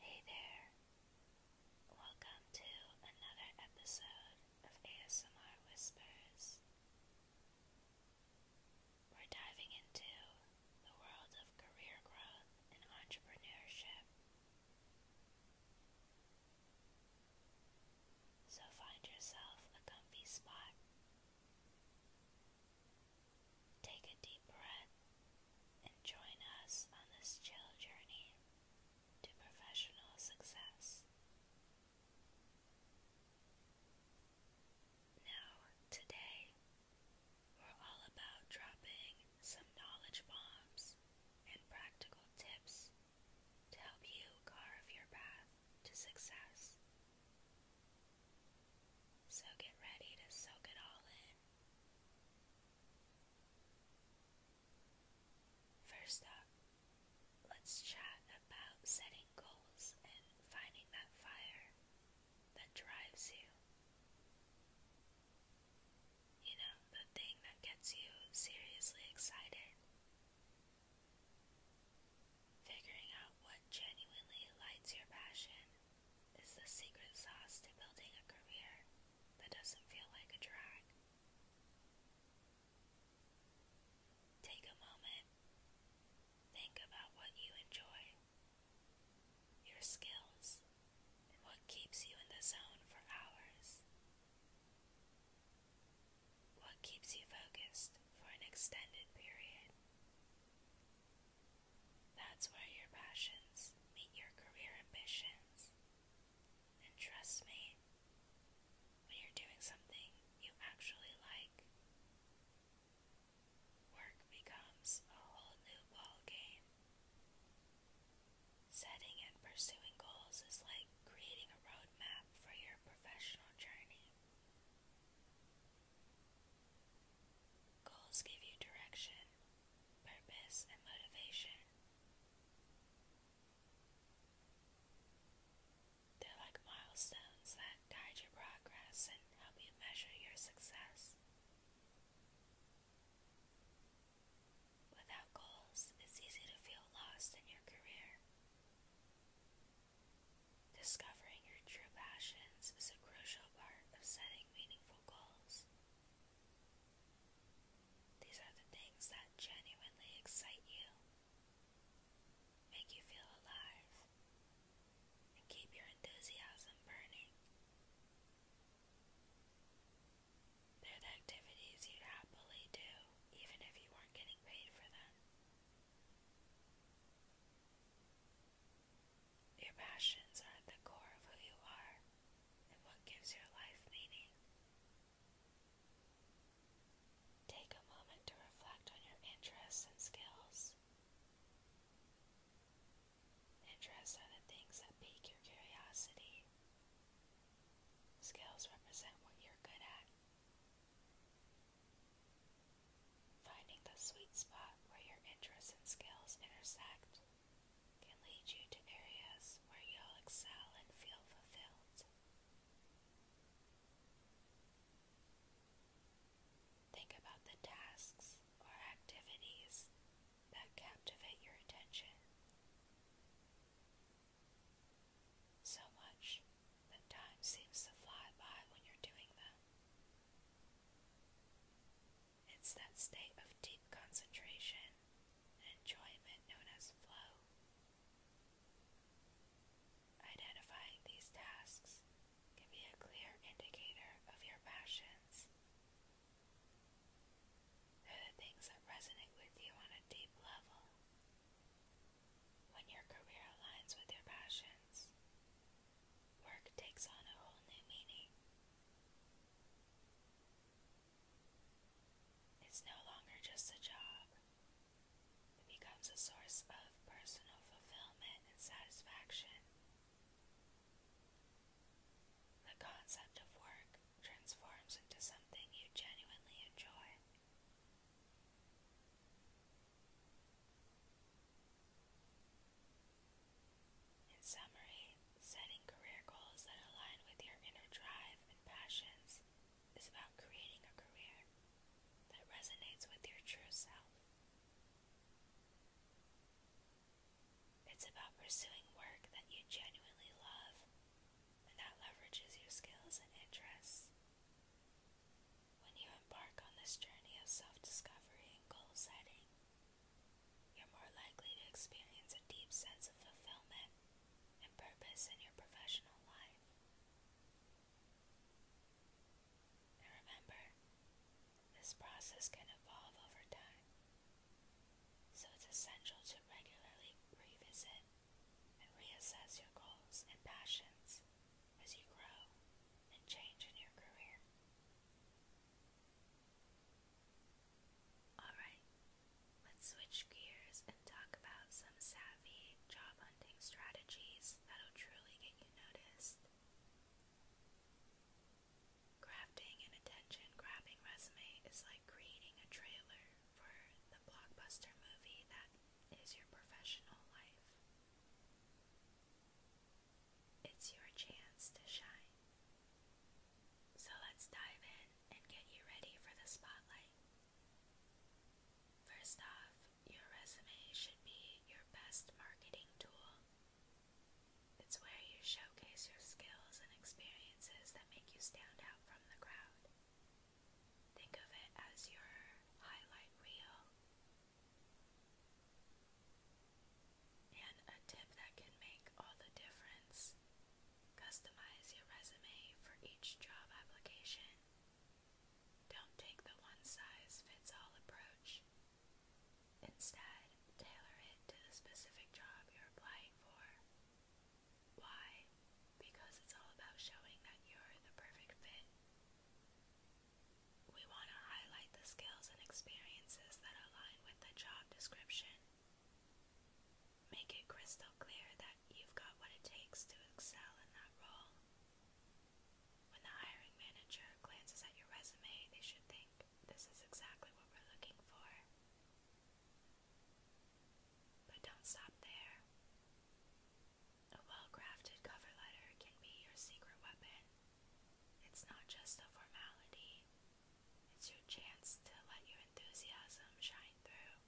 Hey there! Welcome to another episode of ASMR Whispers. We're diving into the world of career growth and entrepreneurship. So find yourself a comfy spot. Take a deep breath and join us on this chill journey to professional success. Now, today, we're all about dropping some knowledge bombs and practical tips to help you carve your path to success. So get ready to soak it all in First up, let's chat about setting goals and finding that fire that drives you. You know, the thing that gets you seriously excited. Figuring out what genuinely lights your passion is the secret sauce to building a career that doesn't feel like a drag. Take a moment. Think about what you enjoy, your skills, and what keeps you in the zone for hours. What keeps you focused for an extended period? That's where your passions meet your career ambitions. And trust me, when you're doing something you actually like, work becomes a whole new ball game. Setting and pursuing goals is like creating a roadmap for your professional journey. Goals give you direction purpose, and motivation. They're like milestones that guide your progress and help you measure your success. Without goals, it's easy to feel lost in your career. Discovering your true passions is a crucial part of setting meaningful goals. These are the things that genuinely excite you, make you feel alive, and keep your enthusiasm burning. They're the activities you happily do, even if you weren't getting paid for them. Your passions are at the core of who you are and what gives your life meaning. Take a moment to reflect on your interests and skills. Interests are the things that pique your curiosity. Skills represent what you're good at. Finding the sweet spot where your interests and skills intersect can lead you to areas where you'll excel and feel fulfilled. Think about the tasks or activities that captivate your attention. So much that time seems to fly by when you're doing them. It's that state of deep concentration and enjoyment known as flow. Identifying these tasks can be a clear indicator of your passions. are the things that resonate with you on a deep level. When your career aligns with your passions, work takes on a whole new meaning. It's no longer just a job, it becomes a source of personal fulfillment and satisfaction. The concept of work transforms into something you genuinely enjoy. In summary, setting career goals that align with your inner drive and passions is about creating a career that resonates with your true self. It's about pursuing work that you genuinely love and that leverages your skills and interests. When you embark on this journey of self discovery and goal setting, you're more likely to experience a deep sense of fulfillment and purpose in your professional life. And remember, this process can evolve over time, so it's essential to regularly revisit and reassess your goals and passions as you grow and change in your career. Alright, let's switch gears and talk about some savvy job hunting strategies that'll truly get you noticed. Crafting an attention grabbing resume is like creating a trailer for the blockbuster movie that is your professional life. It's your chance to shine. So let's dive in and get you ready for the spotlight. First off, your resume should be your best marketing tool. It's where you showcase your skills and experiences that make you stand out from the crowd. Think of it as your highlight reel and a tip that can make all the difference customize your resume for each job application. Don't take the one size fits all approach. Instead, tailor it to the specific job you're applying for. Why? Because it's all about showing that you're the perfect fit. We want to highlight the skills and experiences that align with the job description. Make it crystal clear that you've got what it takes to excel in that role. When the hiring manager glances at your resume, they should think, this is exactly what we're looking for. But don't stop there. A well crafted cover letter can be your secret weapon. It's not just a formality, it's your chance to let your enthusiasm shine through.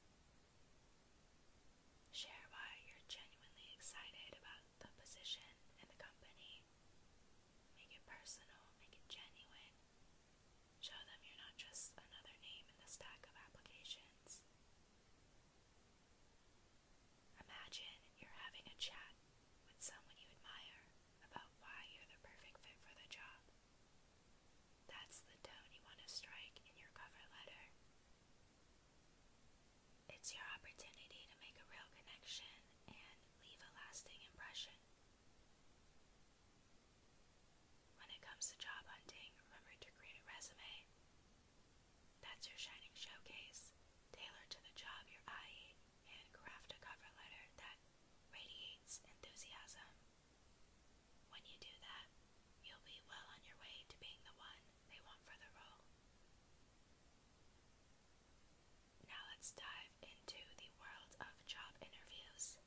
Share why you're genuinely excited about the position and the company. Make it personal, make it genuine. Show them you're not just another name in the stack of applications. Imagine you're having a chat with someone you admire about why you're the perfect fit for the job. That's the tone you want to strike in your cover letter. It's your opportunity to make a real connection and leave a lasting impression. When it comes to job hunting, remember to create a resume. That's your shining showcase, tailored to the job you're eyeing handcraft a cover letter that radiates enthusiasm. When you do that, you'll be well on your way to being the one they want for the role. Now let's dive into the world of job interviews.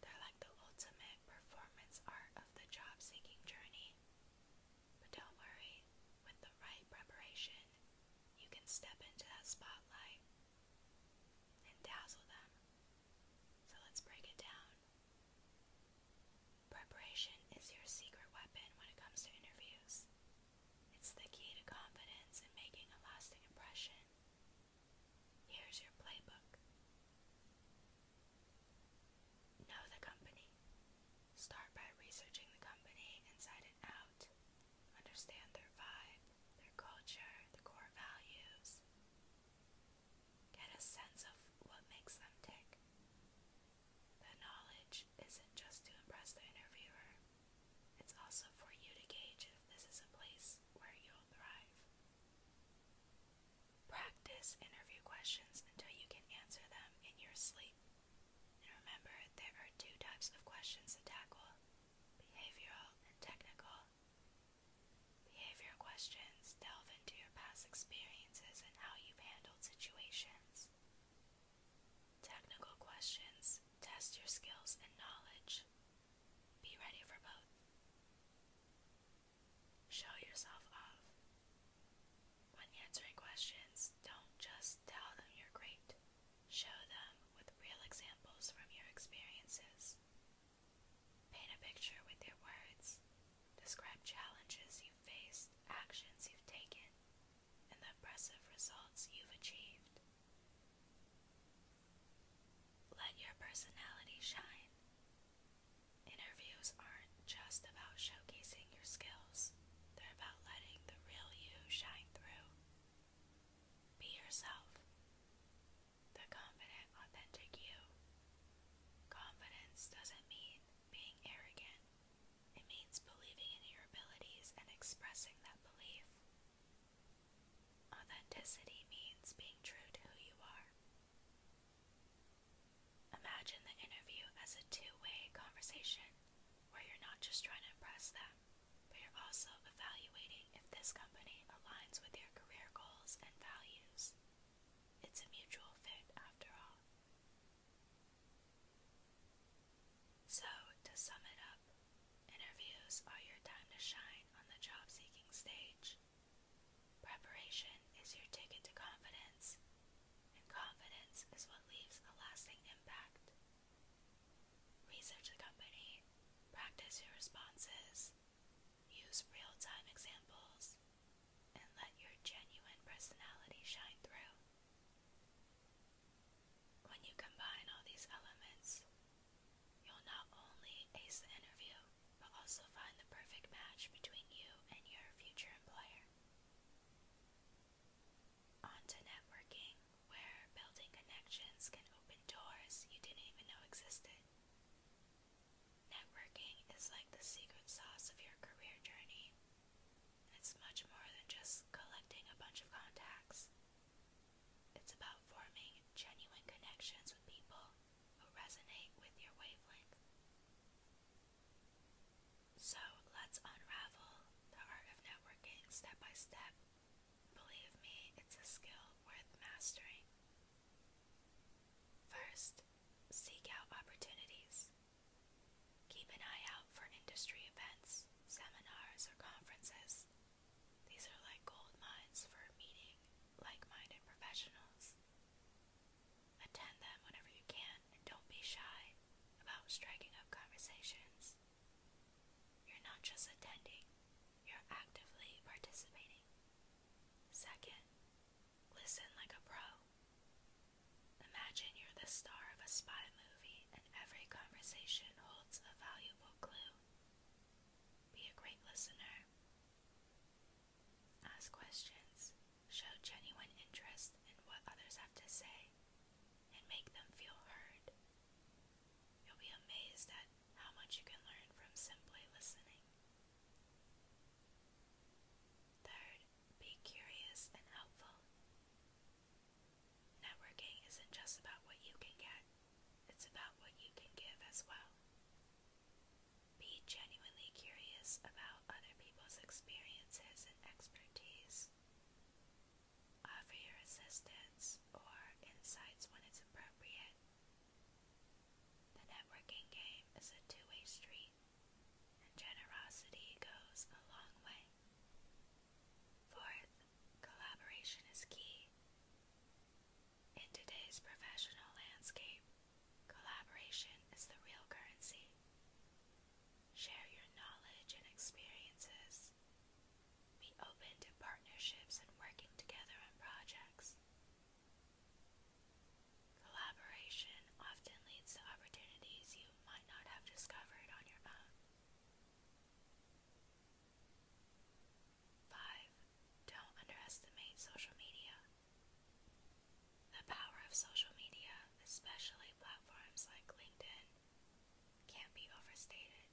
They're like the ultimate performance art of the job seeking journey. But don't worry, with the right preparation, you can step into that spotlight and dazzle them. So let's break it down. Preparation is your secret weapon when it comes to interviews. It's the key to confidence and making a lasting impression. Here's your playbook. Know the company. Start by researching the company inside and out. Understand their vibe, their culture, the core values. Get a sense of what makes them tick. The knowledge isn't just to impress the interviewer, it's also for you to gauge if this is a place where you'll thrive. Practice interview questions until you can answer them in your sleep remember, there are two types of questions to tackle behavioral and technical. Behavioral questions delve into your past experiences and how you've handled situations. Technical questions test your skills and knowledge. Be ready for both. Show yourself off. When answering questions, don't just tell them you're great. Show them with real examples from your experiences. Paint a picture with your words. Describe challenges you've faced, actions you've taken, and the impressive results you've achieved. Let your personality shine. Interviews aren't just about showcasing your skills they're about letting the real you shine through. Be yourself. The confident, authentic you. Confidence doesn't mean being arrogant, it means believing in your abilities and expressing that belief. Authenticity means being true to who you are. Imagine the interview as a two way conversation where you're not just trying to impress them, but you're also evaluating if this company aligns with your career goals and values. It's a mutual fit after all. So, to sum it up, interviews are your time to shine on the job seeking stage. Preparation is your ticket to confidence, and confidence is what leaves a lasting impact. Research the company, practice your responses, use real time examples, and let your genuine personality shine through. When you combine all these elements, you'll not only ace the interview, but also find the perfect match between you and your future employer. On networking, where building connections can open doors you didn't even know existed. Networking is like the secret sauce of your career journey. It's much more than just collecting a bunch of contacts. It's about forming genuine connections with people who resonate with your wavelength. So let's unravel the art of networking step by step. Believe me, it's a skill worth mastering. First, seek out opportunities. Keep an eye out for industry events, seminars, or conferences. These are like gold mines for meeting like minded professionals. Attend them whenever you can and don't be shy about striking up conversations. You're not just attending, you're actively participating. Second, listen like a pro. Imagine you're the star of a spy movie and every conversation holds a valuable clue. Be a great listener. Ask questions. Show genuine interest in what others have to say and make them feel heard. You'll be amazed at how much you can learn from simply listening. Third, be curious and helpful. Networking isn't just about what you can get, it's about what you can give as well. Be genuinely curious about other people's experiences and expertise. Uh, offer your assistance or insights when it's appropriate. The networking game is a two-way street, and generosity goes a long way. Fourth, collaboration is key. In today's professional landscape, collaboration is the real currency. Share your knowledge and experiences. Be open to partnerships and working together on projects. Collaboration often leads to opportunities you might not have discovered on your own. 5. Don't underestimate social media. The power of social media, especially platforms like LinkedIn, can't be overstated.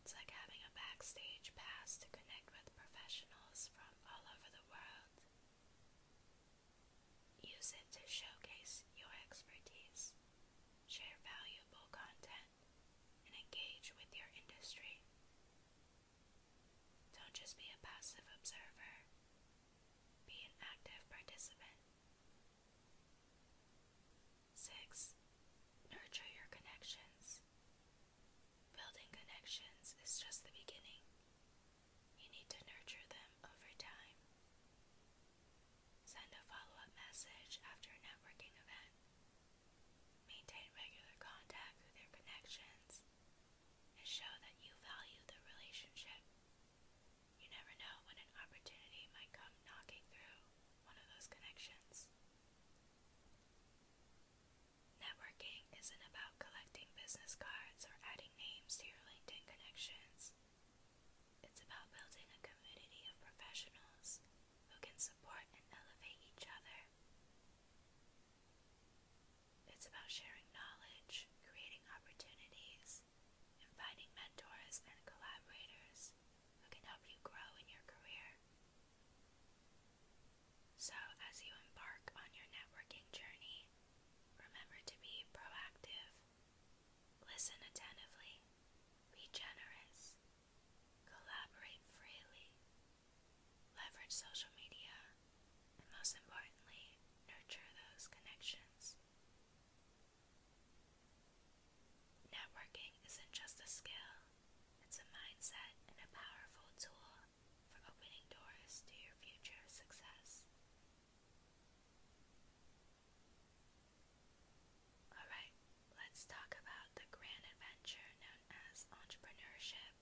It's like having a backstage pass to connect with professionals from all over the world. Use it to showcase your expertise, share valuable content, and engage with your industry. Don't just be a passive observer, be an active participant. Six, nurture your connections. Building connections is just the beginning. You need to nurture them over time. Send a follow up message after a networking event. Maintain regular contact with your connections and show that you value the relationship. You never know when an opportunity might come knocking through one of those connections. Networking isn't about collecting business cards or adding names to LinkedIn connections. It's about building a community of professionals who can support and elevate each other. It's about sharing knowledge, creating opportunities, and finding mentors and collaborators who can help you grow in your career. So, as you embark on your networking journey, remember to be proactive, listen attentively, be generous, collaborate freely, leverage social media, and most importantly, nurture those connections. Networking isn't just a skill, it's a mindset and a powerful tool for opening doors to your future success. Alright, let's talk about the grand adventure known as entrepreneurship.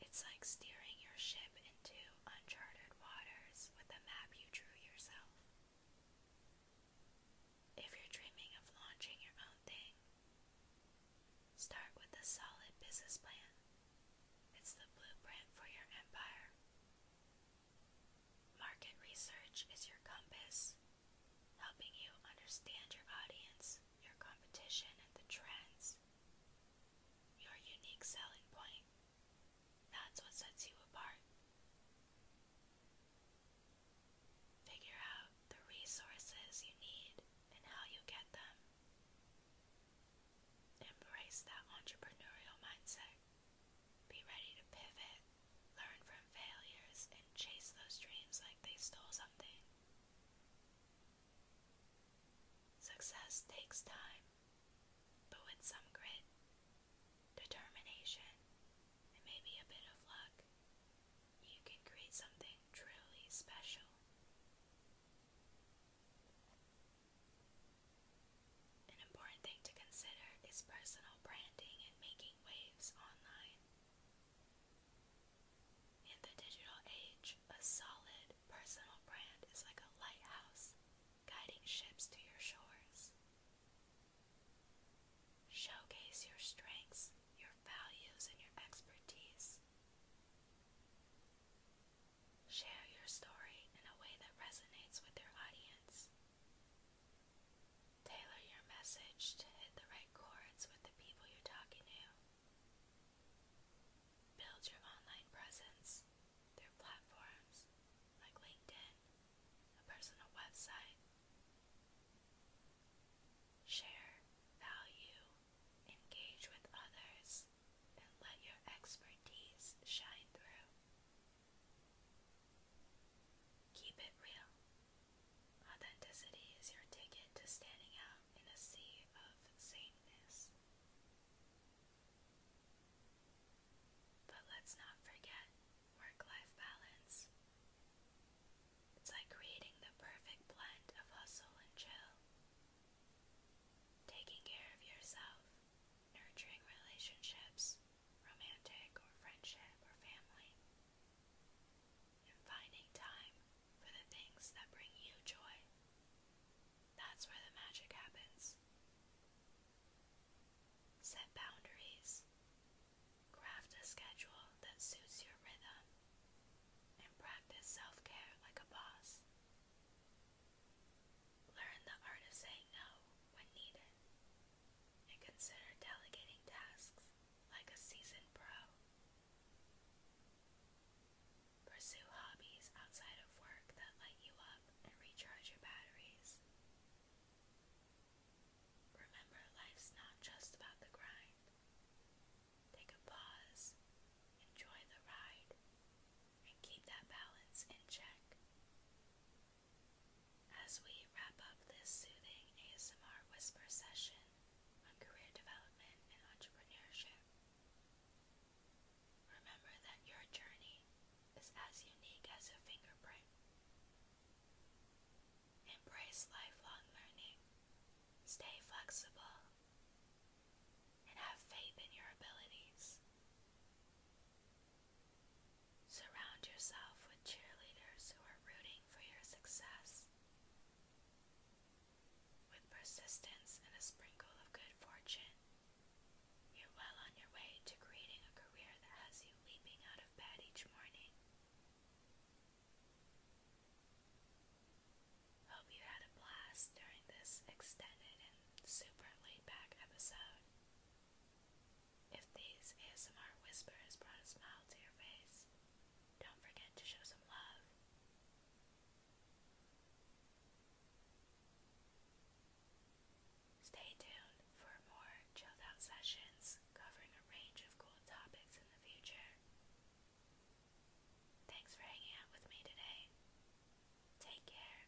It's like steering your ship into uncharted waters with the map you drew yourself. If you're dreaming of launching your own thing, start with a solid business plan. It's the blueprint for your empire. Market research is your compass, helping you understand your audience, your competition, and the trends. Your unique selling point that's what sets you apart. Figure out the resources you need and how you get them. Embrace that entrepreneurial mindset. Be ready to pivot, learn from failures, and chase those dreams like they stole something. Success takes time, but with some grit, determination, and maybe a bit of luck, you can create something truly special. An important thing to consider is personal branding and making waves online. In the digital age, a solid personal brand is like a lighthouse guiding ships to your shores. Showcase your strengths, your values, and your expertise. Share your story in a way that resonates with your audience. Tailor your message to hit the right chords with the people you're talking to. Build your online presence through platforms like LinkedIn, a personal website. Share value, engage with others, and let your expertise shine through. Keep it real. Authenticity is your ticket to standing out in a sea of sameness. But let's not forget work life balance. It's like creating the perfect blend of hustle and chill. Taking care of yourself, nurturing relationships, romantic or friendship or family, and finding time for the things that bring you joy. That's where the magic happens. Set boundaries. Craft a schedule that suits your rhythm. And practice self care like a boss. Learn the art of saying no when needed. And consider delegating tasks like a seasoned pro. Pursue hobbies outside of work that light you up and recharge your batteries. Remember, life's not just about the grind. Take a pause, enjoy the ride, and keep that balance in check. As we wrap up this soothing ASMR whisper session on career development and entrepreneurship, Remember that your journey is as unique as a fingerprint. Embrace lifelong learning, stay flexible, and have faith in your abilities. Surround yourself with cheerleaders who are rooting for your success. With persistence and a sprinkle of good fortune, you're well on your way to creating a career that has you leaping out of bed each morning. Hope you had a blast during this extended and super laid back episode. If these ASMR whispers brought a smile to your face, don't forget to show some love. Stay tuned for more chilled sessions covering a range of cool topics in the future. Thanks for hanging out with me today. Take care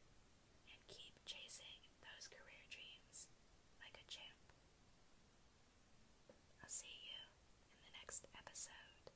and keep chasing those career dreams like a champ. I'll see you in the next episode.